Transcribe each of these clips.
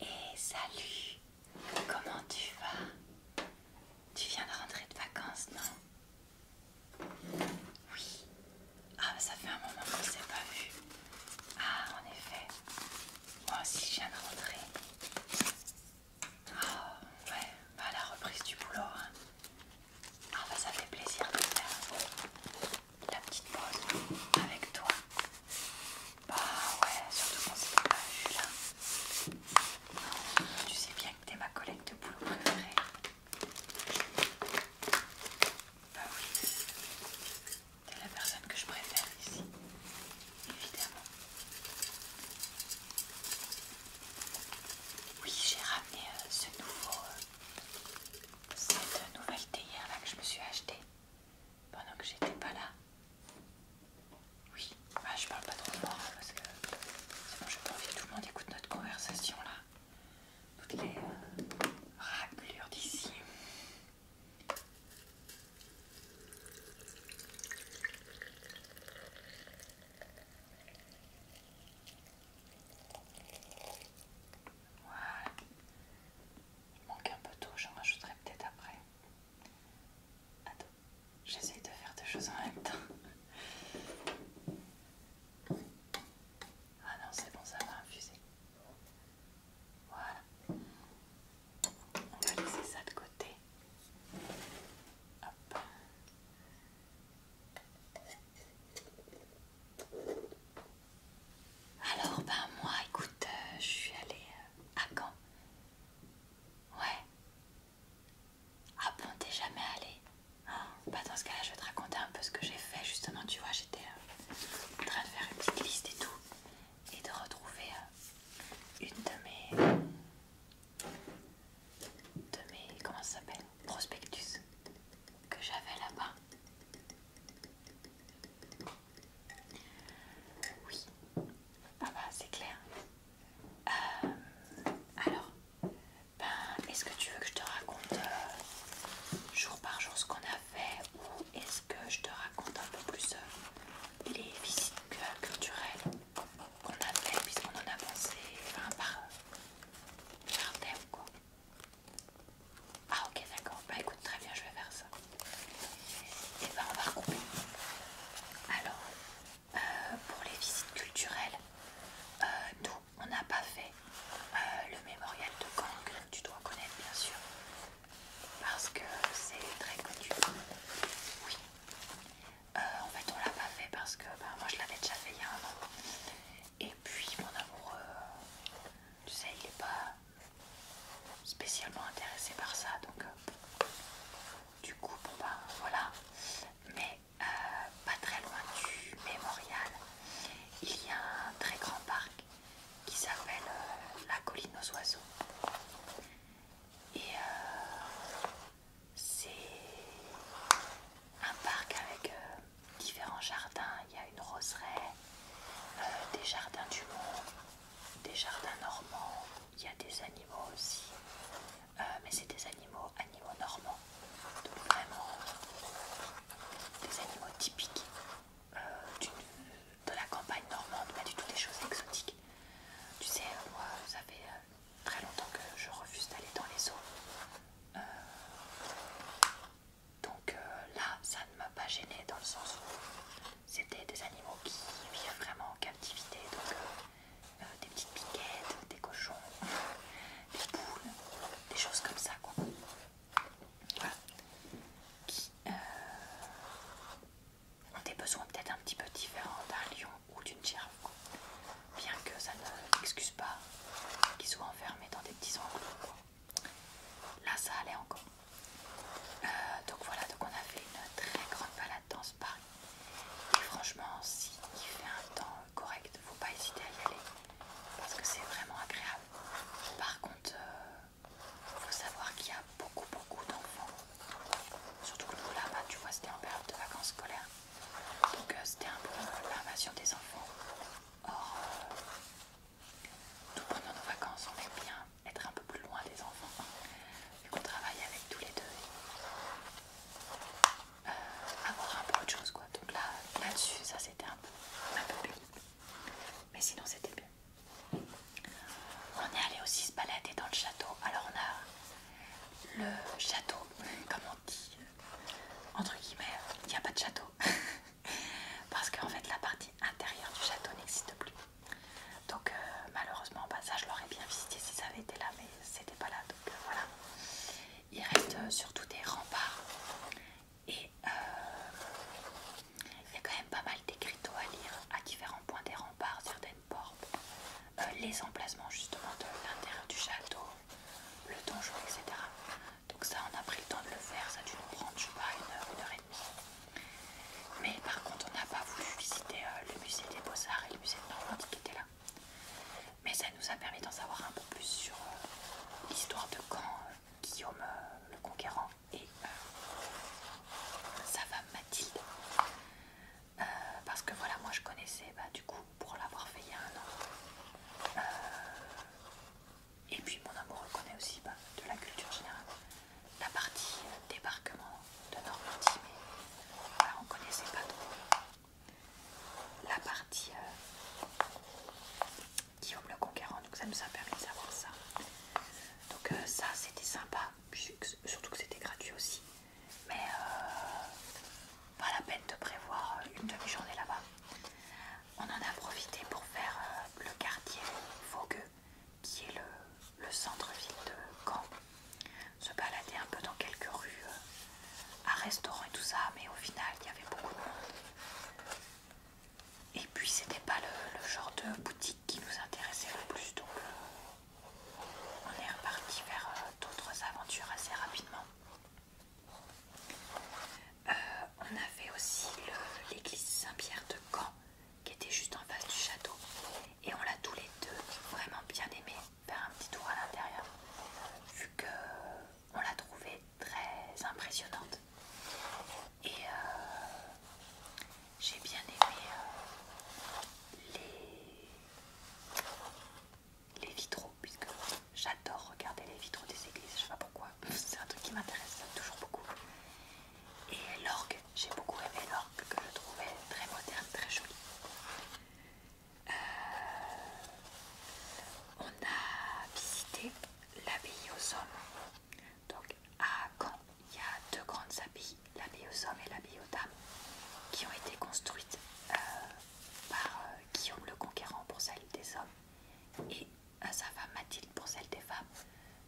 Et salut, comment tu vas Tu viens de rentrer de vacances, non Oui. Ah, bah ça fait un moment qu'on ne s'est pas vu. Ah, en effet. Moi aussi, je viens de rentrer. Ah, ouais, bah la reprise du boulot. Hein. Ah, bah ça fait plaisir de faire la petite pause avec toi. Bah ouais, surtout quand c'est pas vu là. Hein. Tu sais bien que t'es ma collègue de boulot préférée. Bah oui, t'es la personne que je préfère ici, évidemment. Oui, j'ai ramené euh, ce nouveau, euh, cette nouvelle théière là que je me suis achetée pendant que j'étais pas là. Oui, bah, je parle pas trop fort parce que sinon j'ai pas envie que tout le monde écoute notre conversation là. Toutes les euh, raclures d'ici. Voilà. Il manque un peu d'eau, j'en rajouterai peut-être après. Attends, j'essaye de faire deux choses en même temps. Ah non, c'est bon, ça va infuser. Voilà. On va laisser ça de côté. Hop. Alors, ben moi, écoute, euh, je suis allée euh, à Caen. Ouais. Ah bon, t'es jamais allée ah, Bah dans ce cas-là, je vais te raconter un peu ce que j'ai fait. Justement, tu vois, j'étais euh, en train de faire une petite liste et tout. Et de retrouver une de mes... De mes... Comment ça s'appelle Prospectus. Que j'avais là-bas. Oui. Ah bah c'est clair. Euh, alors, ben, est-ce que tu veux que je te raconte euh, jour par jour ce qu'on a fait ou est-ce que je te raconte un peu plus euh, les visites culturelles qu'on a fait puisqu'on en a pensé par, jardin ou quoi ah ok d'accord, bah écoute très bien je vais faire ça. Et eh ben on va recouper. Alors, euh, pour les visites culturelles, euh, nous on n'a pas fait euh, le mémorial de Kang, que tu dois connaître bien sûr. Parce que c'est très connu. Oui. en fait on l'a pas fait parce que ben moi je l'avais déjà fait il y a un moment. Et puis mon amoureux, tu sais, il est pas spécialement intéressé par ça donc euh, du coup bon bah, voilà mais euh, pas très loin du mémorial il y a un très grand parc qui s'appelle euh, la colline aux oiseaux et c'est un parc avec différents jardins il y a une roseraie euh, des jardins du monde, des jardins normands, il y a des animaux aussi, euh, mais c'est des animaux, animaux normands, vraiment des animaux typiques euh, de la campagne normande, pas du tout des choses exotiques. Tu sais, moi, ça fait très longtemps que je refuse d'aller dans les eaux. Donc euh, là, ça ne m'a pas gênée dans le sens où c'était des animaux qui vivent vraiment en captivité. Donc euh, euh, des petites piquettes, des cochons, des poules, des choses comme ça quoi. Voilà. Qui ont des besoins peut-être un petit peu différents d'un lion ou d'une girafe. Bien que ça ne excuse pas qu'ils soient enfermés dans des petits enclos. Là, ça allait encore. Euh, donc voilà, donc on a fait une très grande balade dans ce parc. Et franchement, si il fait un temps correct, faut pas hésiter à y aller parce que c'est vraiment agréable. Par contre, il euh, faut savoir qu'il y a beaucoup, beaucoup d'enfants. Surtout que là-bas, tu vois, c'était en période de vacances scolaires, donc euh, c'était un peu l'invasion des enfants. Or, tout pendant nos vacances, on aime bien être un peu plus loin des enfants, On hein, qu'on travaille avec tous les deux. et euh, avoir un peu autre chose quoi. Donc là, là-dessus, ça c'était un peu, un Mais sinon c'était bien. On est allé aussi se balader dans le château. Alors on a le château, comme on dit, entre guillemets, il n'y a pas de château. parce qu'en fait la partie intérieure du château n'existe plus. Donc euh, malheureusement, bah, ça je l'aurais bien visité si ça avait été là, mais c'était pas là. Donc euh, voilà. Il reste euh, surtout des remparts et il y a quand même pas mal d'écriteaux à lire à différents points des remparts, sur des portes, les emplacements justement de l'intérieur du château, le donjon, etc. Donc ça, on a pris le temps de le faire. Ça a dû nous prendre, je sais pas, une heure, une heure et demie. Mais par contre, on n'a pas voulu visiter euh, le musée des Beaux-Arts et le musée de Normandie qui était là. Mais ça nous a permis d'en savoir un peu plus sur euh, l'histoire de quand euh, Guillaume le Conquérant et sa femme Mathilde. parce que voilà, moi je connaissais, bah, du coup, pour l'avoir fait il y a un an, et puis mon amour connaît aussi bah, de la culture générale la partie débarquement de Normandie, mais on connaissait pas trop la partie qui euh, Guillaume le Conquérant, donc ça nous a permis de savoir ça. Donc euh, ça c'était sympa, surtout que c'était gratuit aussi, mais euh, pas la peine de prévoir une demi-journée là-bas. On en a profité pour faire le quartier Faugueux, qui est le, centre-ville de Caen, se baladait un peu dans quelques rues, euh, à restaurant et tout ça, mais au final il y avait beaucoup de monde. Et puis c'était pas le, genre de boutique qui nous intéressait le plus, donc euh, on est reparti vers euh, d'autres aventures assez rapidement. on avait aussi l'église Saint-Pierre de Caen qui était juste en face du château. Et on l'a tous les deux vraiment bien aimé faire un petit tour à l'intérieur, vu que on l'a trouvée très impressionnante. Et euh, j'ai bien aimé euh, les, les vitraux, puisque j'adore regarder les vitraux des églises, je sais pas pourquoi c'est un truc qui m'intéresse toujours beaucoup. Et l'orgue, j'ai beaucoup aimé l'orgue que je trouvais très moderne, très jolie. Euh, on a visité l'abbaye aux hommes. Donc à Caen, il y a deux grandes abbayes, l'abbaye aux hommes et l'abbaye aux dames, qui ont été construites euh, par euh, Guillaume le Conquérant pour celle des hommes sa femme Mathilde pour celle des femmes,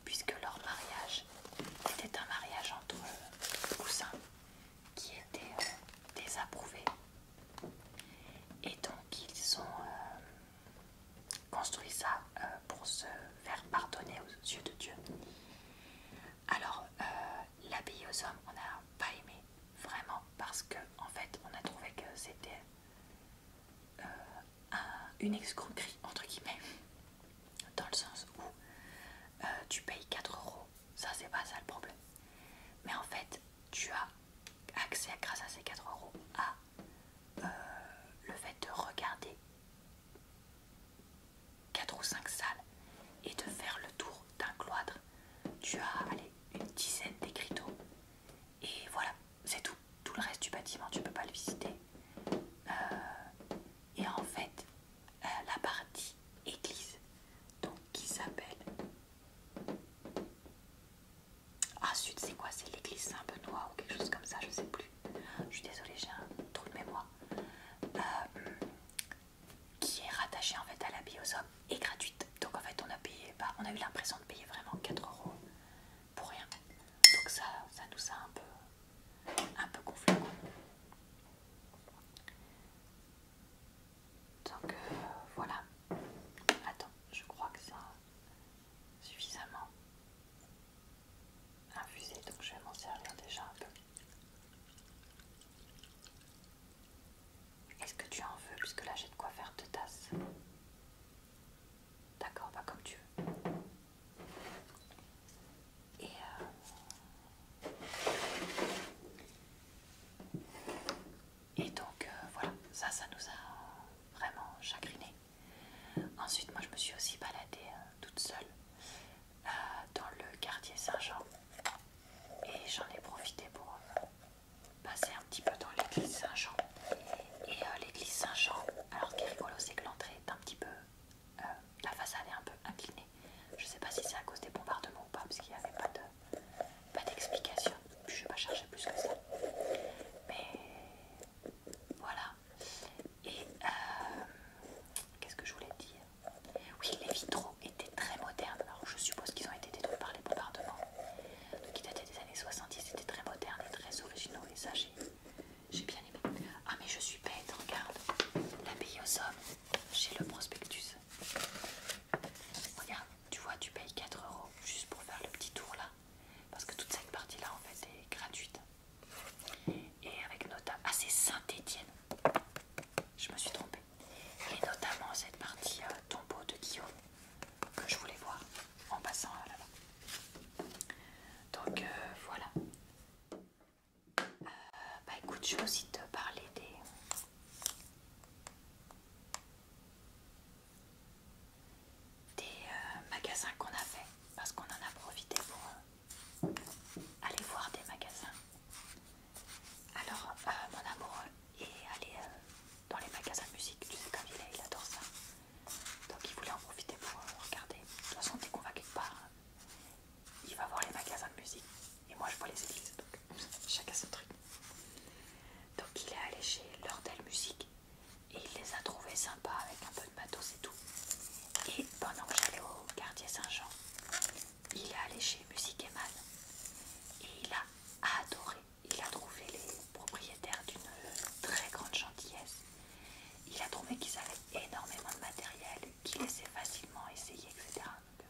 puisque leur mariage était un mariage entre euh, cousins qui était euh, désapprouvé. Et donc ils ont euh, construit ça pour se faire pardonner aux yeux de Dieu. Alors l'abbaye aux hommes, on n'a pas aimé vraiment parce que en fait on a trouvé que c'était euh, une escroquerie entre guillemets dans le sens où euh, tu payes 4 euros, ça c'est pas ça le problème. Mais en fait, tu as accès grâce à ces 4 euros à euh, le fait de regarder 4 ou 5 salles et de faire le tour d'un cloître. Tu as une dizaine d'écriteaux et voilà, c'est tout. Tout le reste du bâtiment, tu peux pas le visiter. Euh, et en fait, euh, la partie église, donc qui s'appelle. Ah, sud, c'est quoi C'est l'église Saint-Benoît ou quelque chose comme ça, je sais plus. Je suis désolée, j'ai un trou de mémoire. Euh, qui est rattachée en fait à la aux hommes et gratuite. Donc en fait, on a payé, bah, on a eu l'impression de payer vraiment 4 euros pour rien. Donc ça, ça nous a un peu, un peu gonflé. Donc euh, voilà. Attends, je crois que ça suffisamment infusé, donc je vais m'en servir déjà un peu. Est-ce que tu en veux Puisque là j'ai de quoi faire deux tasse D'accord, pas bah, comme tu veux. Et euh, donc euh, voilà, ça, ça nous a vraiment chagriné. Ensuite, moi je me suis aussi baladée euh, toute seule dans le quartier Saint-Jean et j'en ai profité pour passer un petit peu dans l'église Saint-Jean et euh, l'église Saint-Jean. Alors qui est rigolo c'est que l'entrée est un petit peu... Euh, la façade est un peu inclinée. Je sais pas si c'est à cause des bombardements ou pas parce qu'il n'y avait pas d'explication. De, pas je vais pas chercher plus que ça. Mais voilà. Et euh, qu'est-ce que je voulais dire Oui, les vitraux étaient très modernes. Alors je suppose qu'ils ont été détruits par les bombardements. Donc ils dataient des années 70, c'était très moderne et très originaux. Et ça, j'ai bien aimé. Ah mais je suis bête, regarde. la aux hommes, j'ai le prospectus. Regarde, tu vois, tu payes 4 euros juste pour faire le petit tour là. Parce que toute cette partie là en fait est gratuite. Et avec notamment... Ah c'est Saint-Étienne. Je me suis trompée. Et notamment cette partie euh, tombeau de Guillaume que je voulais voir en passant là-bas. Donc euh, voilà. Euh, bah écoute, je vais aussi te parler des... des euh, magasins qu'on a fait parce qu'on en a profité pour aller voir des magasins. Alors mon amoureux est allé dans les magasins de musique, tu sais comme il est, il adore ça. Donc il voulait en profiter pour euh, regarder. De toute façon, dès qu'on va quelque part, il va voir les magasins de musique. Et moi, je vois les églises. Donc chacun son truc. Donc il est allé chez Lordel Musique. Et il les a trouvés sympas avec un peu de matos et tout. Et pendant que j'allais au quartier Saint-Jean, il est allé chez Musique et Man. Et il a adoré. Il a trouvé les propriétaires d'une euh, très grande gentillesse. Il a trouvé qu'ils avaient énormément de matériel, qu'il essayait facilement essayer, etc. Euh,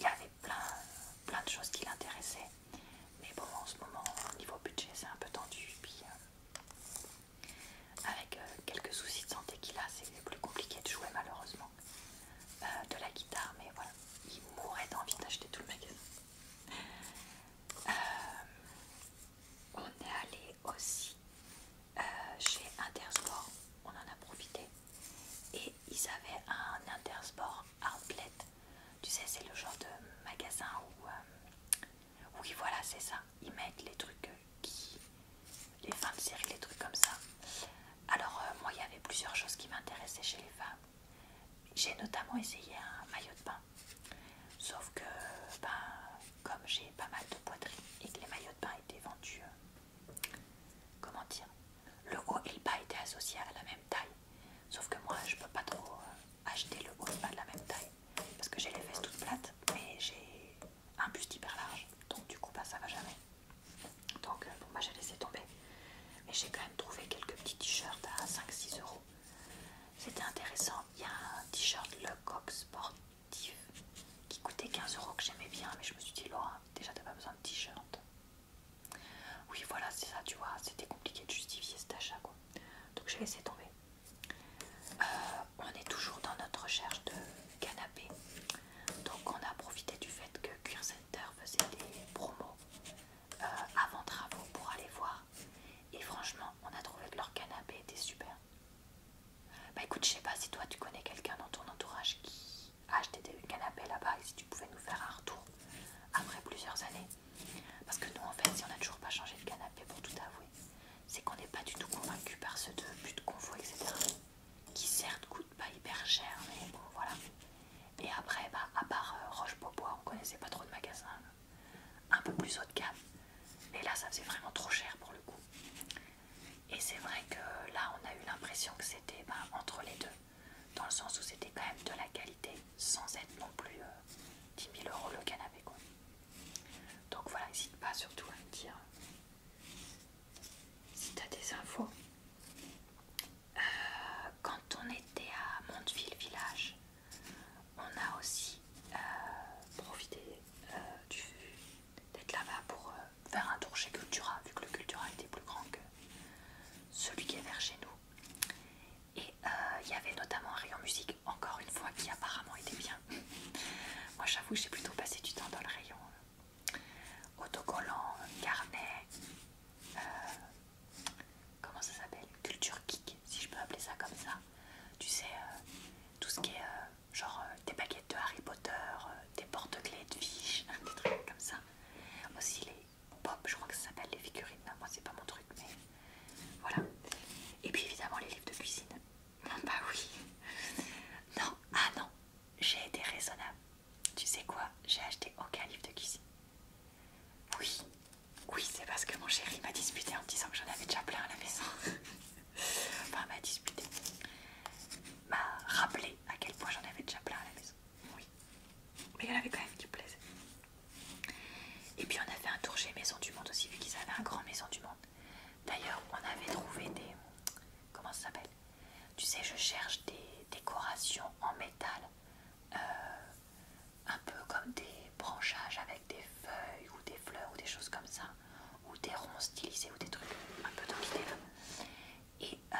il avait plein, de choses qui l'intéressaient. Mais bon, en ce moment, niveau budget, c'est un peu tendu. Euh, avec euh, quelques soucis de santé qu'il a, c'est plus compliqué de jouer malheureusement de la guitare. Mais voilà, il mourrait d'envie d'acheter tout le magasin on est allé aussi euh, chez Intersport, on en a profité, et ils avaient un Intersport Outlet. Tu sais, c'est le genre de magasin où, euh, oui, voilà, c'est ça, ils mettent les trucs euh, qui, les femmes de série, les trucs comme ça. Alors, moi, il y avait plusieurs choses qui m'intéressaient chez les femmes. J'ai notamment essayé un maillot de bain Sauf que, ben, comme j'ai pas mal de poitrine et que les maillots de bain étaient vendus, euh, comment dire, le haut et le bas étaient associés à la même taille. Sauf que moi, je peux pas trop euh, acheter le haut et le bas de la même taille parce que j'ai les fesses toutes plates, mais j'ai un buste hyper large, donc du coup, ça ben, ça va jamais. Donc, moi, euh, bon, ben, j'ai laissé tomber. Mais j'ai quand même trouvé quelques petits t-shirts à 5-6 euros. C'était intéressant. Il y a un t-shirt Lecoq sportif qui coûtait 15 euros que j'aimais bien, mais je me suis dit, Laura, déjà t'as pas besoin de t-shirt. Oui, voilà, c'est ça, tu vois, c'était compliqué de justifier cet achat, quoi. Donc j'ai laissé tomber. Euh, on est toujours dans notre recherche de canapé. Donc on a profité du fait que Cuir Center faisait des promos euh, avant travaux pour aller voir. Et franchement, on a trouvé que leur canapé était super. Bah écoute, je sais pas si toi tu connais quelqu'un dans ton entourage qui a acheté des canapés là-bas et si tu pouvais nous faire un retour après plusieurs années. Parce que nous en fait, si on n'a toujours pas changé de canapé pour tout avouer, c'est qu'on n'est pas du tout convaincu par ce de buts de confort, etc. Qui certes coûte pas hyper cher, mais bon voilà. Et après, bah, à part euh, Roche-Beaubois, on connaissait pas trop de magasins. Hein un peu plus haut de gamme. et là, ça faisait vraiment trop cher pour le coup. Et c'est vrai que là, on a eu l'impression que c'était bah, entre les deux, dans le sens où c'était quand même de la qualité, sans être non plus 10 euh, 000 euros le canapé. Quoi. Donc voilà, n'hésite pas surtout à me dire euh, si tu as des infos. Euh, quand on était à Monteville Village, on a aussi euh, profité euh, d'être là-bas pour euh, faire un tour chez Cultura, vu que le Cultura était plus grand que celui qui est vers chez nous. Et il y avait notamment un rayon musique, encore une fois, qui apparemment était bien. Moi j'avoue, j'ai plutôt passé du temps dans le rayon autocollant, carnet, comment ça s'appelle Culture Kick, si je peux appeler ça comme ça. Euh, tu sais, euh, tout ce qui est euh, genre des baguettes de Harry Potter, des porte-clés de fiches, des trucs comme ça. Aussi les pop, je crois que ça s'appelle les figurines. Moi, c'est pas mon truc, mais voilà. Et puis évidemment, les livres de cuisine. Ah, bah oui. Non, ah non, j'ai été raisonnable. Tu sais quoi J'ai acheté aucun livre de cuisine. Oui, oui, c'est parce que mon chéri m'a disputé en me disant que j'en avais déjà plein à la maison. enfin, m'a disputé. M'a rappelé à quel point j'en avais déjà plein à la maison. Oui. Mais il avait quand même qui me Et puis on a fait un tour chez Maison du Monde aussi, vu qu'ils avaient un grand Maison du Monde. D'ailleurs, on avait trouvé des. Comment ça s'appelle Tu sais, je cherche des décorations en métal. Euh, un peu comme des branchages avec des feuilles ou des fleurs ou des choses comme ça, ou des ronds stylisés ou des trucs un peu dans l'idée Et euh,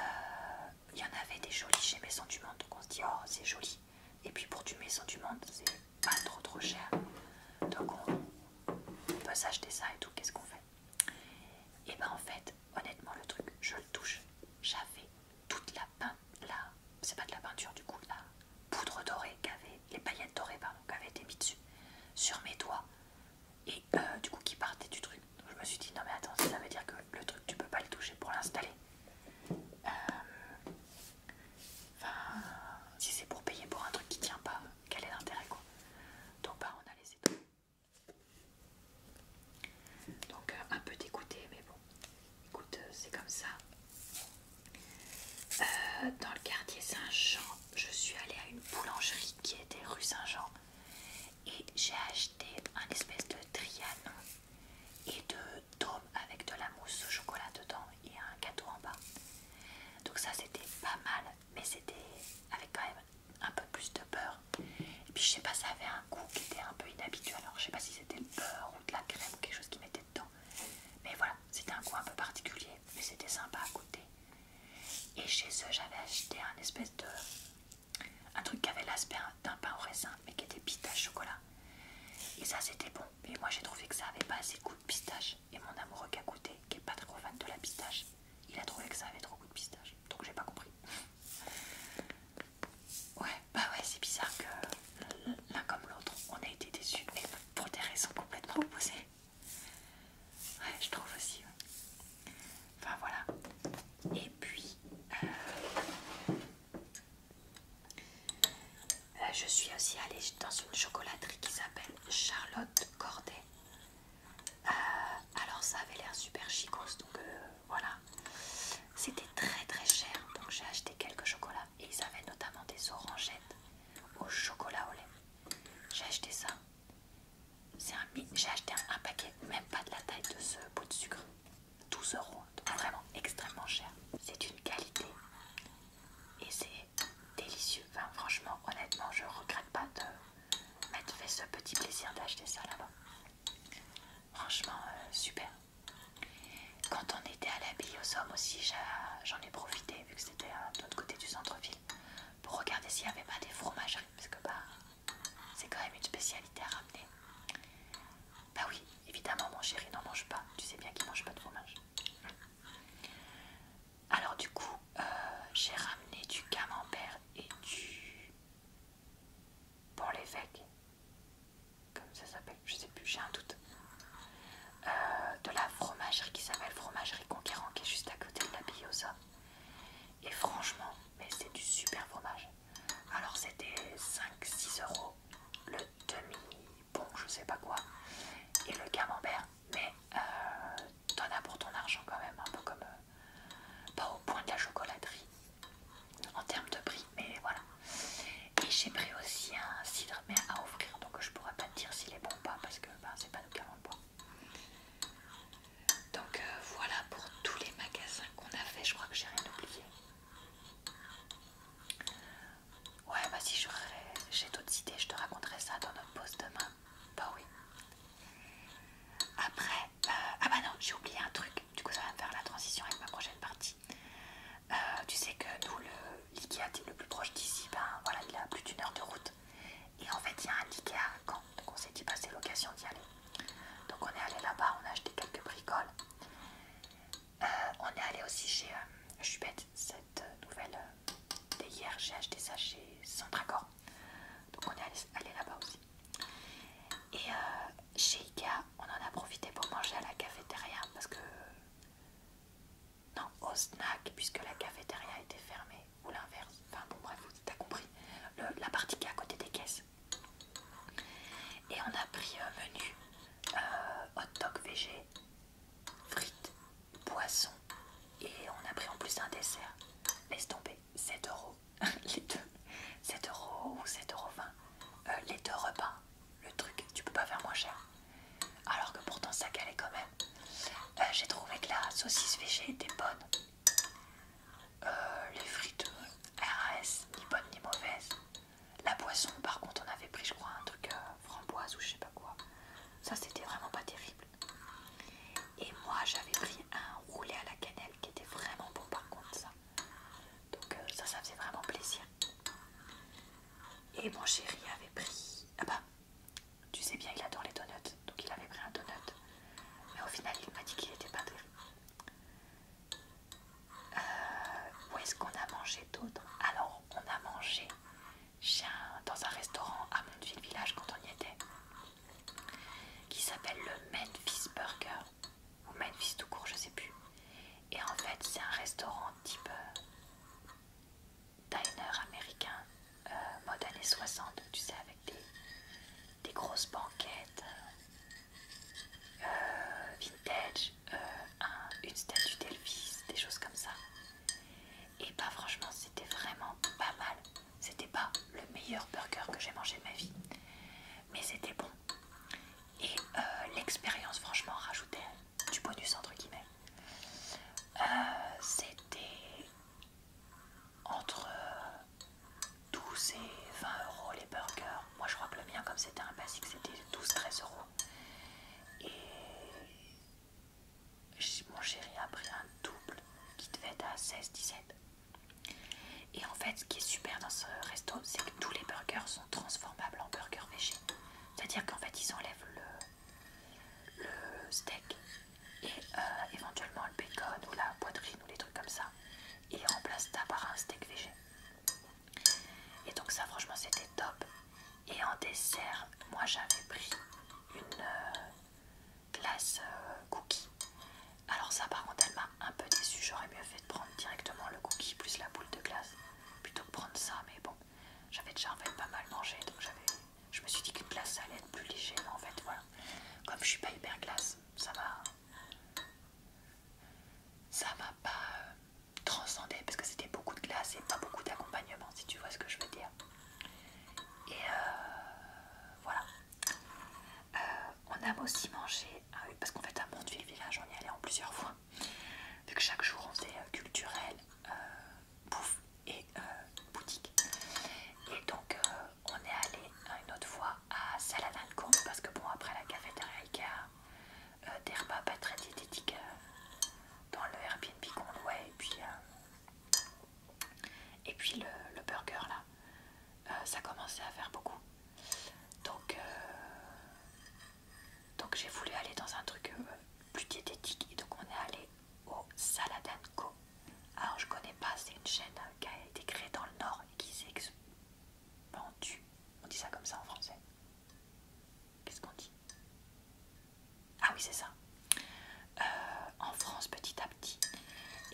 il y en avait des jolis chez Maison du Monde, donc on se dit oh c'est joli. Et puis pour du Maison du Monde, c'est pas trop trop cher, donc on, peut s'acheter ça et tout. Qu'est-ce qu'on fait Et eh ben en fait, honnêtement le truc, je le touche, j'avais toute la peinture, là, c'est pas de la peinture du coup là, poudre dorée qu'avait les paillettes dorées pardon avaient été mises dessus sur mes doigts et euh, du coup qui partait du truc je me suis dit non mais attends ça veut dire que le truc tu peux pas le toucher pour l'installer euh, enfin si c'est pour payer pour un truc qui tient pas quel est l'intérêt quoi donc bah on a laissé tout donc euh, un peu d'écouter mais bon écoute c'est comme ça euh, dans le quartier Saint-Jean, je suis allée à une boulangerie qui était rue Saint-Jean et j'ai acheté un espèce de trianon et de dôme avec de la mousse au chocolat dedans et un gâteau en bas. Donc ça c'était pas mal, mais c'était avec quand même un peu plus de beurre. Et puis je sais pas, ça avait un goût qui était un peu inhabituel. Alors je sais pas si c'était le beurre ou de la crème ou quelque chose qui mettait mais voilà, c'était un coin un peu particulier, mais c'était sympa à côté. Et chez eux, j'avais acheté un espèce de. un truc qui avait l'aspect d'un pain au raisin, mais qui était pistache chocolat. Et ça, c'était bon. Mais moi, j'ai trouvé que ça avait pas assez de goût de pistache. Et mon amoureux qui a goûté, qui est pas trop fan de la pistache, il a trouvé que ça avait trop goût de pistache. Donc, j'ai pas compris. Ouais, bah ouais, c'est bizarre que l'un comme l'autre, on a été déçus pour des raisons complètement opposées. Ouais, je trouve aussi. Enfin voilà. Et puis, euh, euh, je suis aussi allée dans une chocolaterie qui s'appelle Charlotte Corday. Euh, alors ça avait l'air super chicose donc voilà. C'était très très cher, donc j'ai acheté quelques chocolats et ils avaient notamment des orangettes au chocolat au lait. J'ai acheté ça. J'ai acheté un, paquet, même pas de la taille de ce pot de sucre. 12 euros, vraiment extrêmement cher. C'est une qualité et c'est délicieux. Enfin, franchement, honnêtement, je regrette pas de m'être fait ce petit plaisir d'acheter ça là-bas. Franchement, euh, super. Quand on était à la Bille aux aussi, j'en ai profité vu que c'était de l'autre côté du centre-ville pour regarder s'il n'y avait pas des fromageries hein, parce que bah, c'est quand même une spécialité à ramener. Bah oui, évidemment mon chéri n'en mange pas, tu sais bien qu'il mange pas de fromage. Alors du coup, euh, j'ai ramené du camembert et du pour l'évêque, comme ça s'appelle, je sais plus, j'ai un doute. Euh, de la fromagerie qui s'appelle Fromagerie Conquérant, qui est juste à côté de la Biosa. Et franchement, mais c'est du super fromage. Alors c'était 5-6 euros le demi-bon, je sais pas quoi, et le camembert, mais euh, t'en as pour ton argent quand même, un peu comme euh, pas au point de la chocolaterie en termes de prix, mais voilà. Et j'ai pris aussi un cidre mais à offrir, donc je pourrais pas te dire s'il est bon ou pas parce que ben, c'est pas nous qui avons le bois. Donc euh, voilà pour tous les magasins qu'on a fait, je crois que j'ai rien oublié. Ouais, bah si j'ai d'autres idées, je te raconterai ça dans notre pause demain. Bah oui. Après, euh, ah bah non, j'ai oublié un truc, du coup ça va me faire la transition avec ma prochaine partie. Euh, tu sais que nous, l'IKEA le plus proche d'ici, ben voilà, il a plus d'une heure de route. Et en fait, il y a un Ikea à donc on s'est dit, passer bah, l'occasion d'y aller. Donc on est allé là-bas, on a acheté quelques bricoles. Euh, on est allé aussi chez, je suis bête, cette euh, nouvelle d'hier, j'ai acheté ça chez Centracor. Donc on est allé, là-bas aussi. Et chez Ikea, on en a profité pour manger à la cafétéria parce que non, au snack, puisque la cafétéria était fermée, ou l'inverse, enfin bon bref, t'as compris, la partie qui est à côté des caisses. Et on a pris un menu euh, hot dog végé, frites, poisson, et on a pris en plus un dessert. Laisse tomber, 7 euros, les deux, 7 euros ou 7 euros euh, les deux repas, le truc, tu peux pas faire moins cher. Alors que pourtant ça calait quand même. Euh, j'ai trouvé que la saucisse végé était bonne. Euh, les frites euh, RAS, ni bonnes ni mauvaises. La boisson, par contre, on avait pris, je crois, un truc framboise ou je sais pas quoi. Ça, c'était vraiment pas terrible. Et moi, j'avais pris un roulé à la cannelle qui était vraiment bon, par contre, ça. Donc, ça, ça faisait vraiment plaisir. Et mon chéri avait pris. Ah bah, tu sais bien, il adore les donuts. Donc il avait pris un donut. Mais au final, il m'a dit qu'il était pas dur. Euh, où est-ce qu'on a mangé d'autres Alors, on a mangé dans un restaurant à Montville Village quand on y était, qui s'appelle le Memphis Burger, ou Memphis tout court, je sais plus. Et en fait, c'est un restaurant type euh, diner américain euh, mode années 60, tu sais, avec des, grosses banquettes, euh, euh, vintage, une statue d'Elvis, des choses comme ça. Et bah franchement, c'était vraiment pas mal. C'était pas le meilleur burger que j'ai mangé de ma vie, mais c'était bon. Et l'expérience, franchement, rajoutait du bonus entre guillemets. Euh, c'était entre 12 et 20 euros les burgers. Moi je crois que le mien comme c'était un basique c'était 12-13 euros. Et mon chéri a pris un double qui devait être à 16-17. Et en fait, ce qui est super dans ce resto, c'est que tous les burgers sont transformables en burgers végé. C'est-à-dire qu'en fait, ils enlèvent le, le steak et euh, éventuellement le bacon ou la poitrine ou les trucs comme ça et remplace ça par un steak végé et donc ça franchement c'était top et en dessert moi j'avais pris une euh, glace euh, cookie alors ça par contre elle m'a un peu déçu j'aurais mieux fait de prendre directement le cookie plus la boule de glace plutôt que prendre ça mais bon j'avais déjà en fait pas mal mangé, donc je me suis dit qu'une glace allait être plus légère mais en fait voilà. Comme je suis pas hyper glace, ça m'a ça m'a pas euh, transcendée, parce que c'était beaucoup de glace et pas beaucoup d'accompagnement, si tu vois ce que je veux dire. Et euh, voilà. Euh, on a aussi mangé, ah parce qu'en fait à Montville Village, on y allait en plusieurs fois. Vu que chaque jour on faisait euh, culturel, euh, bouffe et euh, boutique. Et donc on est allé une autre fois à compte parce que bon après la cafétéria y a des repas pas très diététiques dans le Airbnb qu'on louait et puis, et puis le, burger là, ça commençait à faire beaucoup. Donc donc j'ai voulu aller dans un truc euh, plus diététique et donc on est allé au Saladin Co. Alors je connais pas, c'est une chaîne euh, qui a été créée dans le Nord et qui s'est expandue. On dit ça comme ça en français. Qu'est-ce qu'on dit Ah oui c'est ça. Euh, en France petit à petit.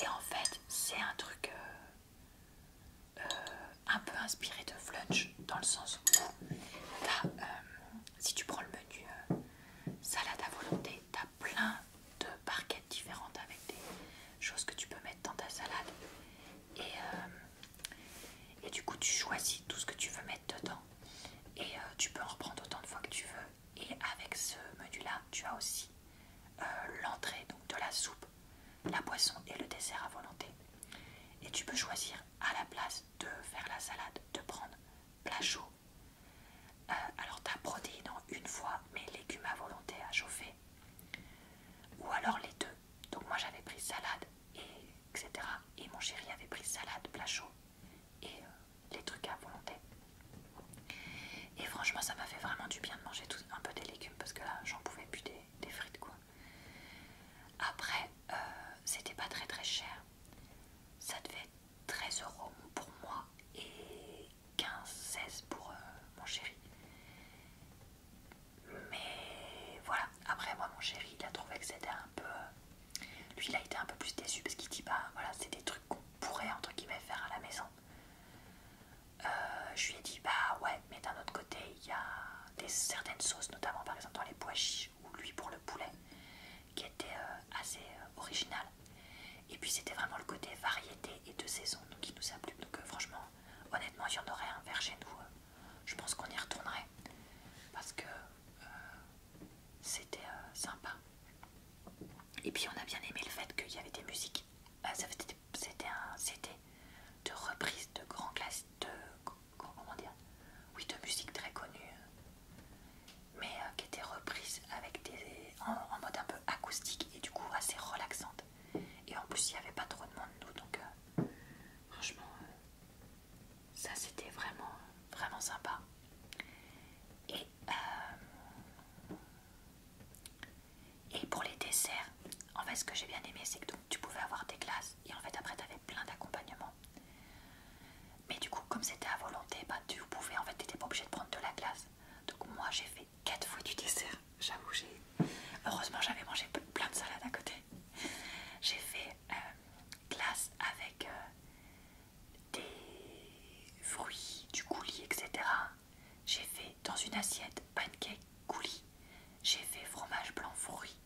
Et en fait c'est un truc un peu inspiré de Flunch dans le sens où si tu prends le menu euh, salade à volonté, tu as plein de barquettes différentes avec des choses que tu peux mettre dans ta salade. Et, euh, du coup, tu choisis tout ce que tu veux mettre dedans. Et euh, tu peux en reprendre autant de fois que tu veux. Et avec ce menu-là, tu as aussi l'entrée donc de la soupe, la boisson et le dessert à volonté. Et tu peux choisir à la place de faire la salade, de prendre plat chaud. Euh, alors ta protéine en une fois, mes légumes à volonté à chauffer. Ou alors les deux. Donc moi j'avais pris salade, et etc. Et mon chéri avait pris salade, plat chaud et euh, les trucs à volonté. Et franchement ça m'a fait vraiment du bien de manger un peu des légumes parce que là j'en pouvais plus des, frites quoi. Après euh, c'était pas très très cher ça devait être 13 euros pour moi et 15-16 pour euh, mon chéri. Mais voilà, après moi mon chéri il a trouvé que c'était un peu... Euh, lui il a été un peu plus déçu parce qu'il dit bah voilà c'est des trucs qu'on pourrait entre guillemets faire à la maison. Euh, je lui ai dit bah ouais mais d'un autre côté il y a des certaines sauces notamment par exemple dans les pois chiches ou lui pour le poulet qui était euh, assez euh, original et puis c'était vraiment le côté variété et de saison qui nous a plu donc euh, franchement honnêtement il y en aurait un vers chez nous je pense qu'on y retournerait parce que c'était sympa et puis on a bien aimé le fait qu'il y avait des musiques c'était un c'était de reprises de grands, de comment dire, oui, de musique très connue, mais euh, qui était reprise avec des, en, mode un peu acoustique et du coup assez relaxante. Et en plus, il n'y avait pas trop de monde, nous, donc euh, franchement, euh, ça c'était vraiment, vraiment sympa. Et, pour les desserts, en fait, ce que j'ai bien aimé, c'est que donc, tu pouvais avoir des glaces et en fait, après, tu avais plein d'accompagnements. Mais du coup, comme c'était à volonté, ben tu pouvais, en fait, t'étais pas obligé de prendre de la glace. Donc moi, j'ai fait quatre fois du dessert. J'avoue, j'ai... Heureusement, j'avais mangé plein de salades à côté. J'ai fait euh, glace avec euh, des fruits, du coulis, etc. J'ai fait dans une assiette pancake coulis. J'ai fait fromage blanc fruits.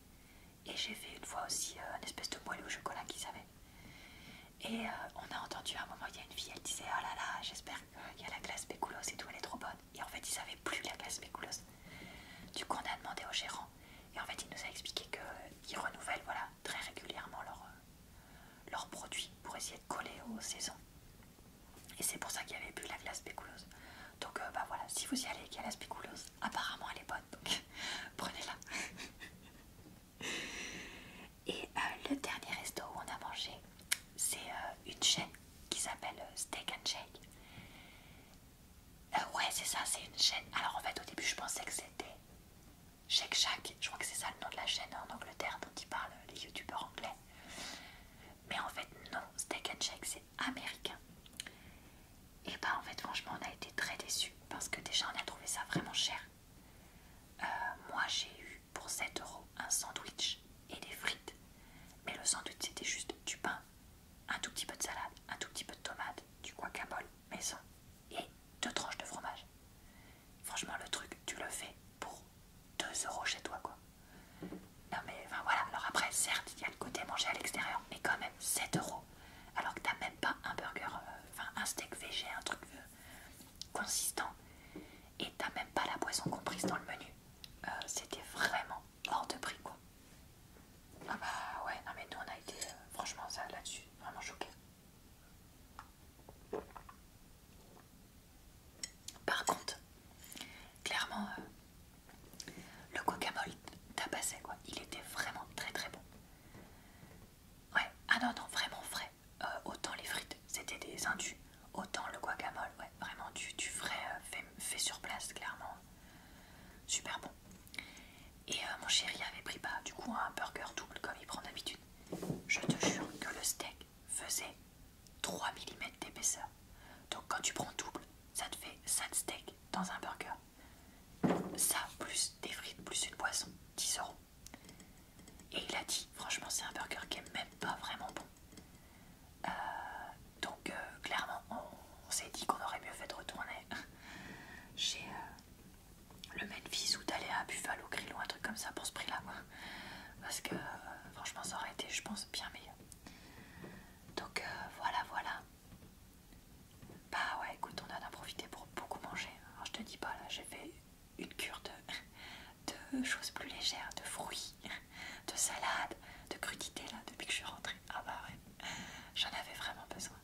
Et j'ai fait une fois aussi euh, un espèce de moelleux au chocolat qu'ils avaient. Et euh, on a entendu à un moment, il y a une fille, elle disait Oh là là, j'espère qu'il y a la glace bécoulose et tout, elle est trop bonne. Et en fait, ils n'avaient plus la glace bécoulose Du coup, on a demandé au gérant. Et en fait, il nous a expliqué qu'ils renouvellent voilà, très régulièrement leurs euh, produits pour essayer de coller aux saisons. Et c'est pour ça qu'il n'y avait plus la glace bécoulose Donc, bah voilà, si vous y allez et qu'il y a la spéculoos, apparemment elle est bonne, donc prenez-la. Et euh, le dernier resto où on a mangé, c'est euh, une chaîne qui s'appelle euh, Steak and Shake. ouais, c'est ça, c'est une chaîne. Alors en fait, au début, je pensais que c'était Shake Shack. Je crois que c'est ça le nom de la chaîne en Angleterre dont ils parlent les youtubeurs anglais. Mais en fait, non, Steak and Shake, c'est américain. Et eh bah ben, en fait franchement on a été très déçus parce que déjà on a trouvé ça vraiment cher. Euh, moi j'ai eu pour 7 euros un sandwich et des frites. Mais le sandwich c'était juste du pain, un tout petit peu de salade, un tout petit peu de tomate, du mais maison et deux tranches de fromage. Franchement le truc tu le fais pour 2 euros chez toi quoi. Non mais enfin voilà, alors après certes il y a le côté manger à l'extérieur, mais quand même 7 euros alors que t'as même pas un burger, euh, enfin un steak végé, un truc euh, consistant et t'as même pas la boisson comprise dans le menu. Euh, c'était vraiment hors de prix quoi. Ah bah ouais, non mais nous on a été franchement ça là-dessus vraiment choqués. Par contre, clairement, le coca mole passé, quoi. Il était vraiment très très bon. Ouais, ah non, non, vraiment frais. Euh, autant les frites, c'était des indus, autant le guacamole, ouais, vraiment du, du frais euh, fait, sur place, clairement. Super bon. Et euh, mon chéri avait pris pas bah, du coup un burger double comme il prend d'habitude. Je te jure que le steak faisait 3 mm d'épaisseur. Donc quand tu prends double, ça te fait 7 steaks dans un burger. Ça, plus des frites, plus une boisson, 10 euros. Et il a dit, franchement, c'est un burger qui est même pas vraiment bon. Euh, donc, euh, clairement, on, s'est dit qu'on aurait mieux fait de retourner chez euh, le Memphis ou d'aller à Buffalo Grill ou un truc comme ça pour ce prix-là. Parce que, franchement, ça aurait été, je pense, bien meilleur. Donc, voilà, voilà. Bah ouais, écoute, on en a profité pour beaucoup manger. je te dis pas, là, j'ai fait une cure de, choses plus légères, de fruits, de salades, de crudités, là, depuis que je suis rentrée. Ah bah ouais, j'en avais vraiment besoin.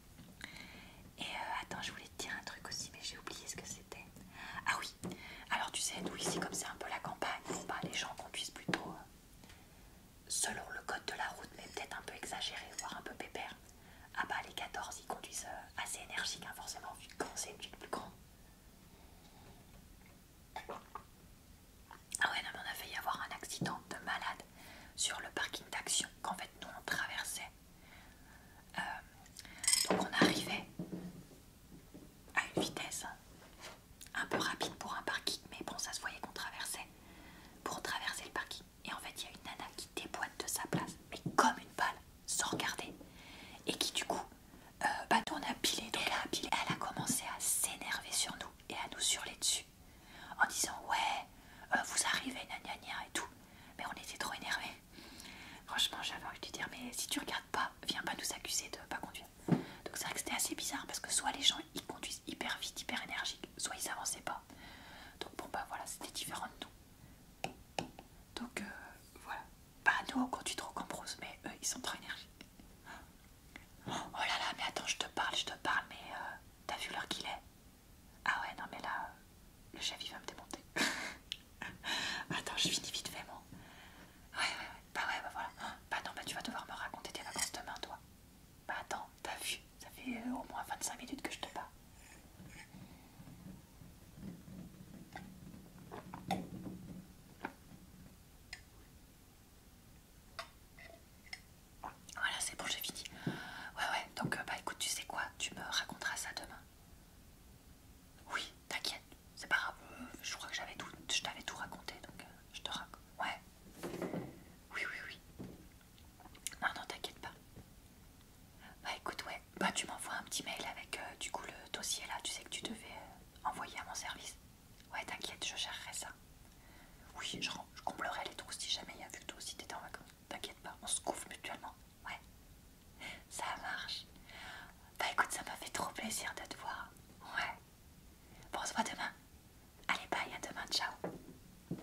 Et euh, attends, je voulais te dire un truc aussi, mais j'ai oublié ce que c'était. Ah oui, alors tu sais, nous ici, comme c'est un peu la campagne, les gens conduisent plutôt euh, selon le code de la route, mais peut-être un peu exagéré, voire un peu pépère. Ah bah les 14 ils conduisent euh, assez énergiques hein, forcément vu que c'est une plus grand. Ah ouais non mais on a failli avoir un accident de malade sur le parking d'action qu'en fait nous on traversait. Euh, donc on arrivait à une vitesse hein, un peu rapide pour un parking mais bon ça se voyait qu'on traversait. Pour traverser le parking et en fait, il y a une nana qui déboîte de sa place, mais comme une balle, sans regarder. Et qui, du coup, euh, bah, tourne à piler, donc elle a commencé à s'énerver sur nous et à nous surler dessus en disant Ouais, euh, vous arrivez, gna gna et tout. Mais on était trop énervés. Franchement, j'avais envie de dire Mais si tu regardes pas, viens pas nous accuser de pas conduire. Donc, c'est vrai que c'était assez bizarre parce que soit les gens ils conduisent hyper vite, hyper énergique, soit ils avançaient pas. Donc bon bah voilà, c'était différent de nous. Donc euh, voilà. Bah nous on conduit trop qu'en mais eux ils sont trop énergiques. Oh là là, mais attends, je te parle, je te parle, mais euh, t'as vu l'heure qu'il est Ah ouais, non mais là, euh, le chef il va me démonter. attends, je finis vite fait, moi. Ouais, ouais, ouais, bah ouais, bah voilà. Bah non, bah tu vas devoir me raconter tes vacances demain, toi. Bah attends, t'as vu, ça fait euh, au moins 25 minutes que je te parle. Voilà, c'est bon, j'ai fini. Ouais, ouais, donc euh, bah écoute, tu sais quoi, tu me raconteras ça demain. Oui, t'inquiète, c'est pas grave, euh, je crois que j'avais tout, je t'avais tout raconté, donc je te raconte. Ouais. Oui, oui, oui. Non, non, t'inquiète pas. Bah écoute, ouais, bah tu m'envoies un petit mail avec euh, du coup le dossier là, tu sais que tu devais euh, envoyer à mon service. Ouais, t'inquiète, je gérerai ça. Oui, je, je comblerai les trous si jamais il y a vu que toi aussi t'étais en vacances. T'inquiète pas, on se couvre mutuellement. Ouais, ça marche. Bah écoute, ça m'a fait trop plaisir de te voir. Ouais. Bon, on se voit demain. Allez, bye, à demain, ciao.